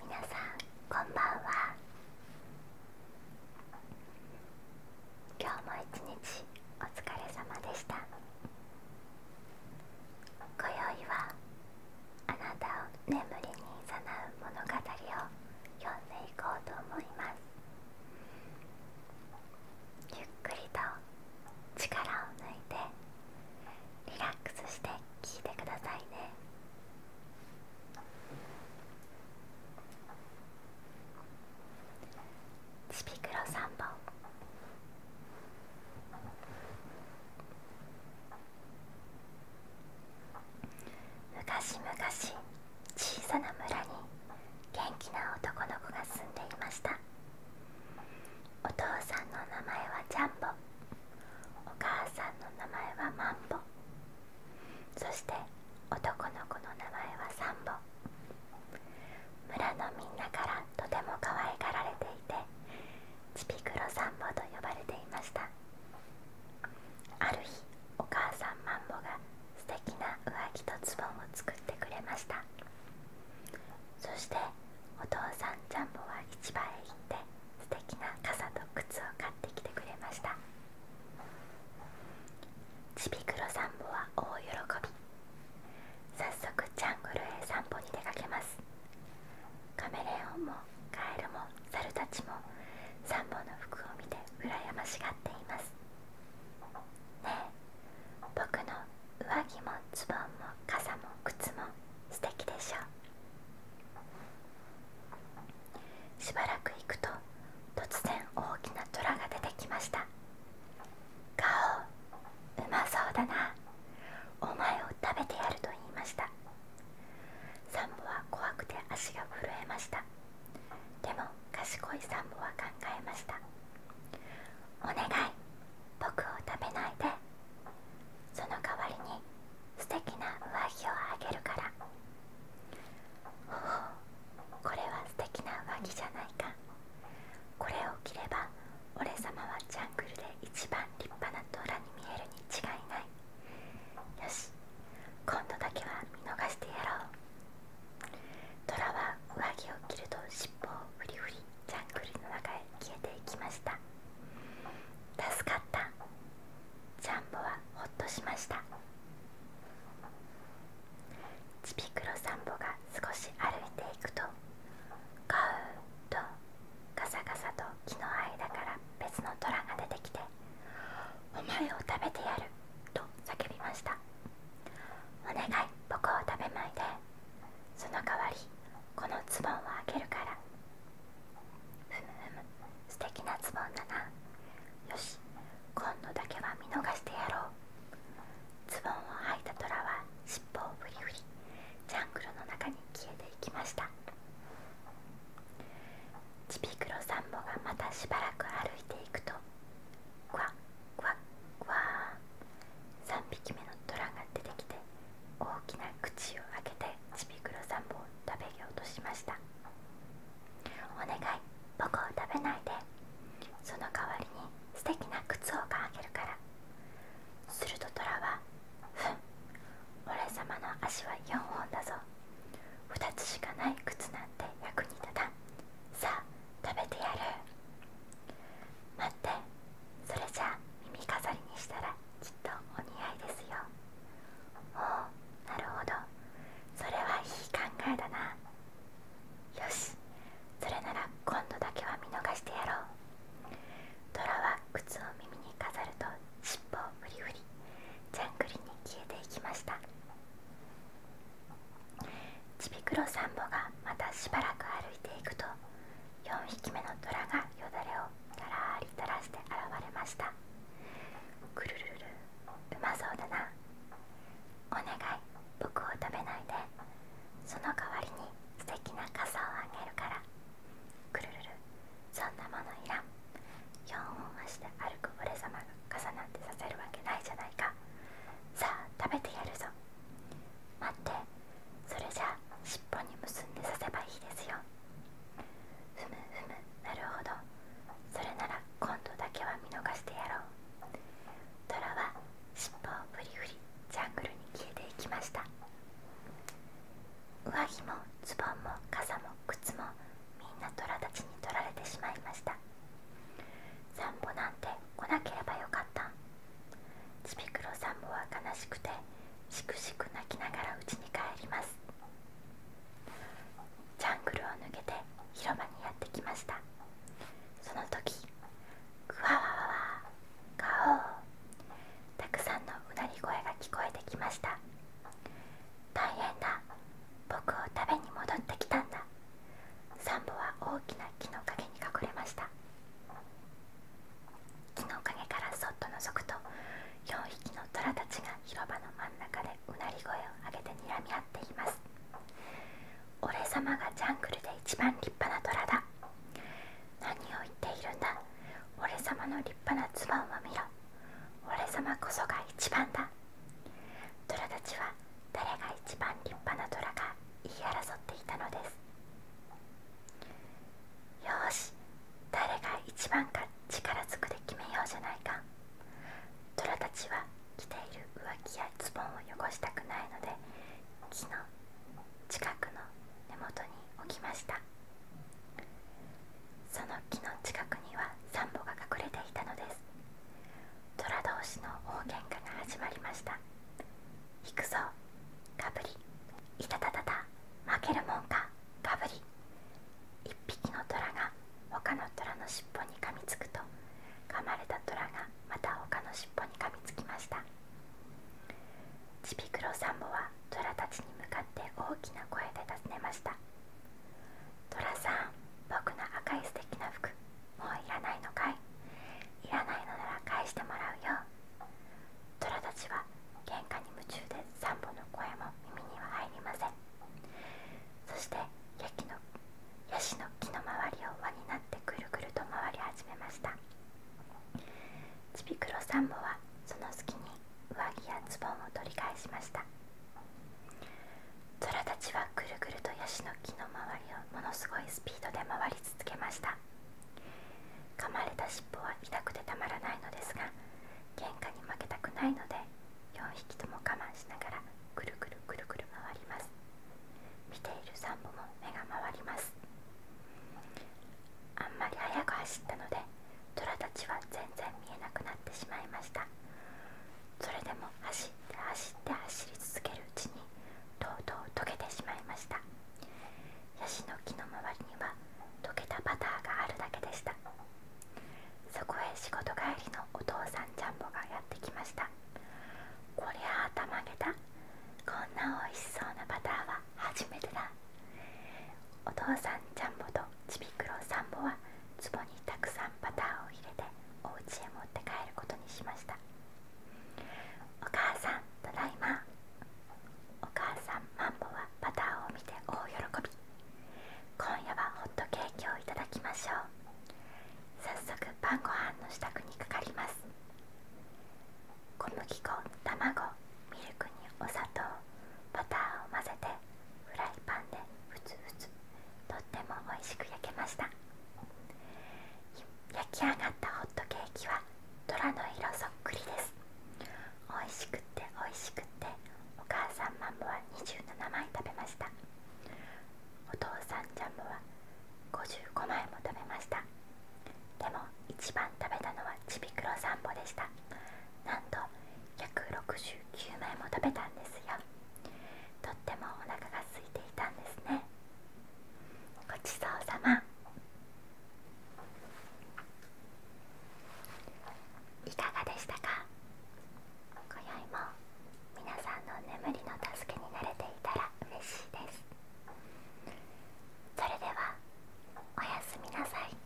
皆さんこんばんは今日も一日お疲れ様でした今宵はあなたを眠りに誘う物語を読んでいこうと思いますゆっくりと力を抜いてリラックスして聴いてくださいねちびくろ3本昔々小さな村に元気な男の子が住んでいましたお父さんの名前はジャンボお母さんの名前はマンボそして男の子の名前はサンボ村のみんなからとても可愛がられていてちびくろサンボと呼ばれていましたある日お母さんマンボが素敵な上着とズボンを作ってくれましたそしてお父さんジャンボは市場へ行って素敵な傘と靴を買ってきてくれましたちびくろさんぼは大喜び早速ジャングルへ散歩に出かけますカメレオンもカエルもサルたちもサンボの服を見て羨ましがっていますねえ僕の上着もズボンも傘も靴も素敵でしょう。しばらく行くと突然大きなトラが出てきました顔うまそうだなお前を食べてやると言いましたサンボは怖くて足が震えましたでも賢いサンボは考えましたお願い僕を食べないでその代わりに素敵な上着をあげるからほお これは素敵な上着じゃないかこれを着れば俺様はジャングルで一番立派な虎に見えるに違いないよし今度だけは見逃してやろうラは上着を着ると尻尾をフリフリジャングルの中へ消えていきました助かったジャンボはほっとしましたちびくろさんぼが少し歩いていくとカウとガサガサと木の間から別の虎が出てきて「お前を食べてやる」と叫びました「お願い僕を食べないで」その代わりこのズボンを開けるからふむふむ素敵なズボンだなよし今度だけは見逃してやろうズボンをはいたトラは尻尾をふりふりジャングルの中に消えていきましたちピクロサンボがまたしばらく歩いていくとクワックワックワー3匹目のトラが出てきて大きな口を開けてちびくろさんも食べようとしましたお願い僕を食べないでその代わりに素敵な靴をあけるからするとトラは「ふん俺様の足は4本だぞ2つしかない靴なんて役に立たんさあ食べてやる」待ってそれじゃあ耳飾りにしたらきっとお似合いですよおおなるほどそれはいい考えだなよしそれなら今度だけは見逃してやろう虎は靴を耳に飾ると尻尾をフリフリジャングリに消えていきましたちびくろさんぼがまたしばらく歩いていくと4匹目の虎がよだれをガラリ垂らして現れましたくるるるうまそうだなお願い僕を食べないでその代わりに素敵な傘をあげるからくるるるそんなものいらん4本足で歩く俺様が傘なんてさせるわけないじゃないかさあ食べてやるぞ待ってそれじゃ尻尾に結んでさせばいいですよふむふむなるほどそれなら今度だけは見逃してやろうトラは尻尾をふりふりジャングルに消えていきました上着もズボンも傘も靴もみんな虎たちに取られてしまいました散歩なんて来なければよかったちびくろさんもは悲しくてしくしく泣きながらうちに帰りますジャングルを抜けて広場にやってきましたその時グワワワワガオたくさんのうなり声が聞こえてきました大変だ僕を食べに戻ってきたんだサンボは大きな木の陰に隠れました木の陰からそっと覗くと4匹の虎たちが広場の真ん中でうなり声を上げて睨み合っています俺様がジャングルで一番立派な虎だ何を言っているんだ俺様の立派なズを見ろ俺様こそが一番だ虎たちは誰が一番立派な虎か言い争っていたのですよーし誰が一番か力ずくで決めようじゃないか虎たちは着ている上着やズボンを汚したくないので木の近くの根元に置きましたその木の近くにはサンボが隠れていたのです虎同士の大喧嘩が始まりましたやくぞかぶりいたたたた負けるもんかかぶり一匹の虎が他の虎のしっぽに噛みつくと噛まれた虎がまた他のしっぽに噛みつきましたちびくろさんぼは虎たちに向かって大きな声で尋ねました「虎さん僕の赤い素敵な服もういらないのかいいらないのなら返してもらうよ虎たちは喧嘩に夢中で3本の声も耳には入りませんそしてヤシの木の周りを輪になってぐるぐると回り始めましたちびくろさんぼはその隙に上着やズボンを取り返しました虎たちはぐるぐるとヤシの木の周りを。ものすごいスピードで回り続けました噛まれた尻尾は痛くてたまらないのですが喧嘩に負けたくないので4匹とも我慢しながらくるくるくるくる回ります見ているさんボも目が回りますあんまり速く走ったので虎たちは全然見えなくなってしまいましたそれでも走って走って走り続けるうちにとうとう溶けてしまいましたヤシの木の周りには溶けたバターがあるだけでしたそこへ仕事帰りのお父さんジャンボがやってきましたこりゃあたまげたこんなおいしそうなバターは初めてだお父さんジャンボとちびくろさんぼは壺にたくさんバターを入れてお家へ持って帰ることにしました「お母さんただいま」お母さんマンボはバターを見て大喜び今夜はホットケーキをいただきましょう早速晩ご飯の支度にかかります小麦粉卵ミルクにお砂糖バターを混ぜてフライパンでふつふつとっても美味しく焼けました焼きあがったホットケーキは虎の色そっくりです美味しくって美味しくってお母さんマンボは27枚食べましたお父さんジャムは55枚も食べましたでも一番食べたのはちびくろさんぼでしたなんと169枚も食べたんですよとってもお腹が空いていたんですねごちそうさまいかがでしたか今宵も皆さんの眠りの助けになれていたら嬉しいですそれではおやすみなさい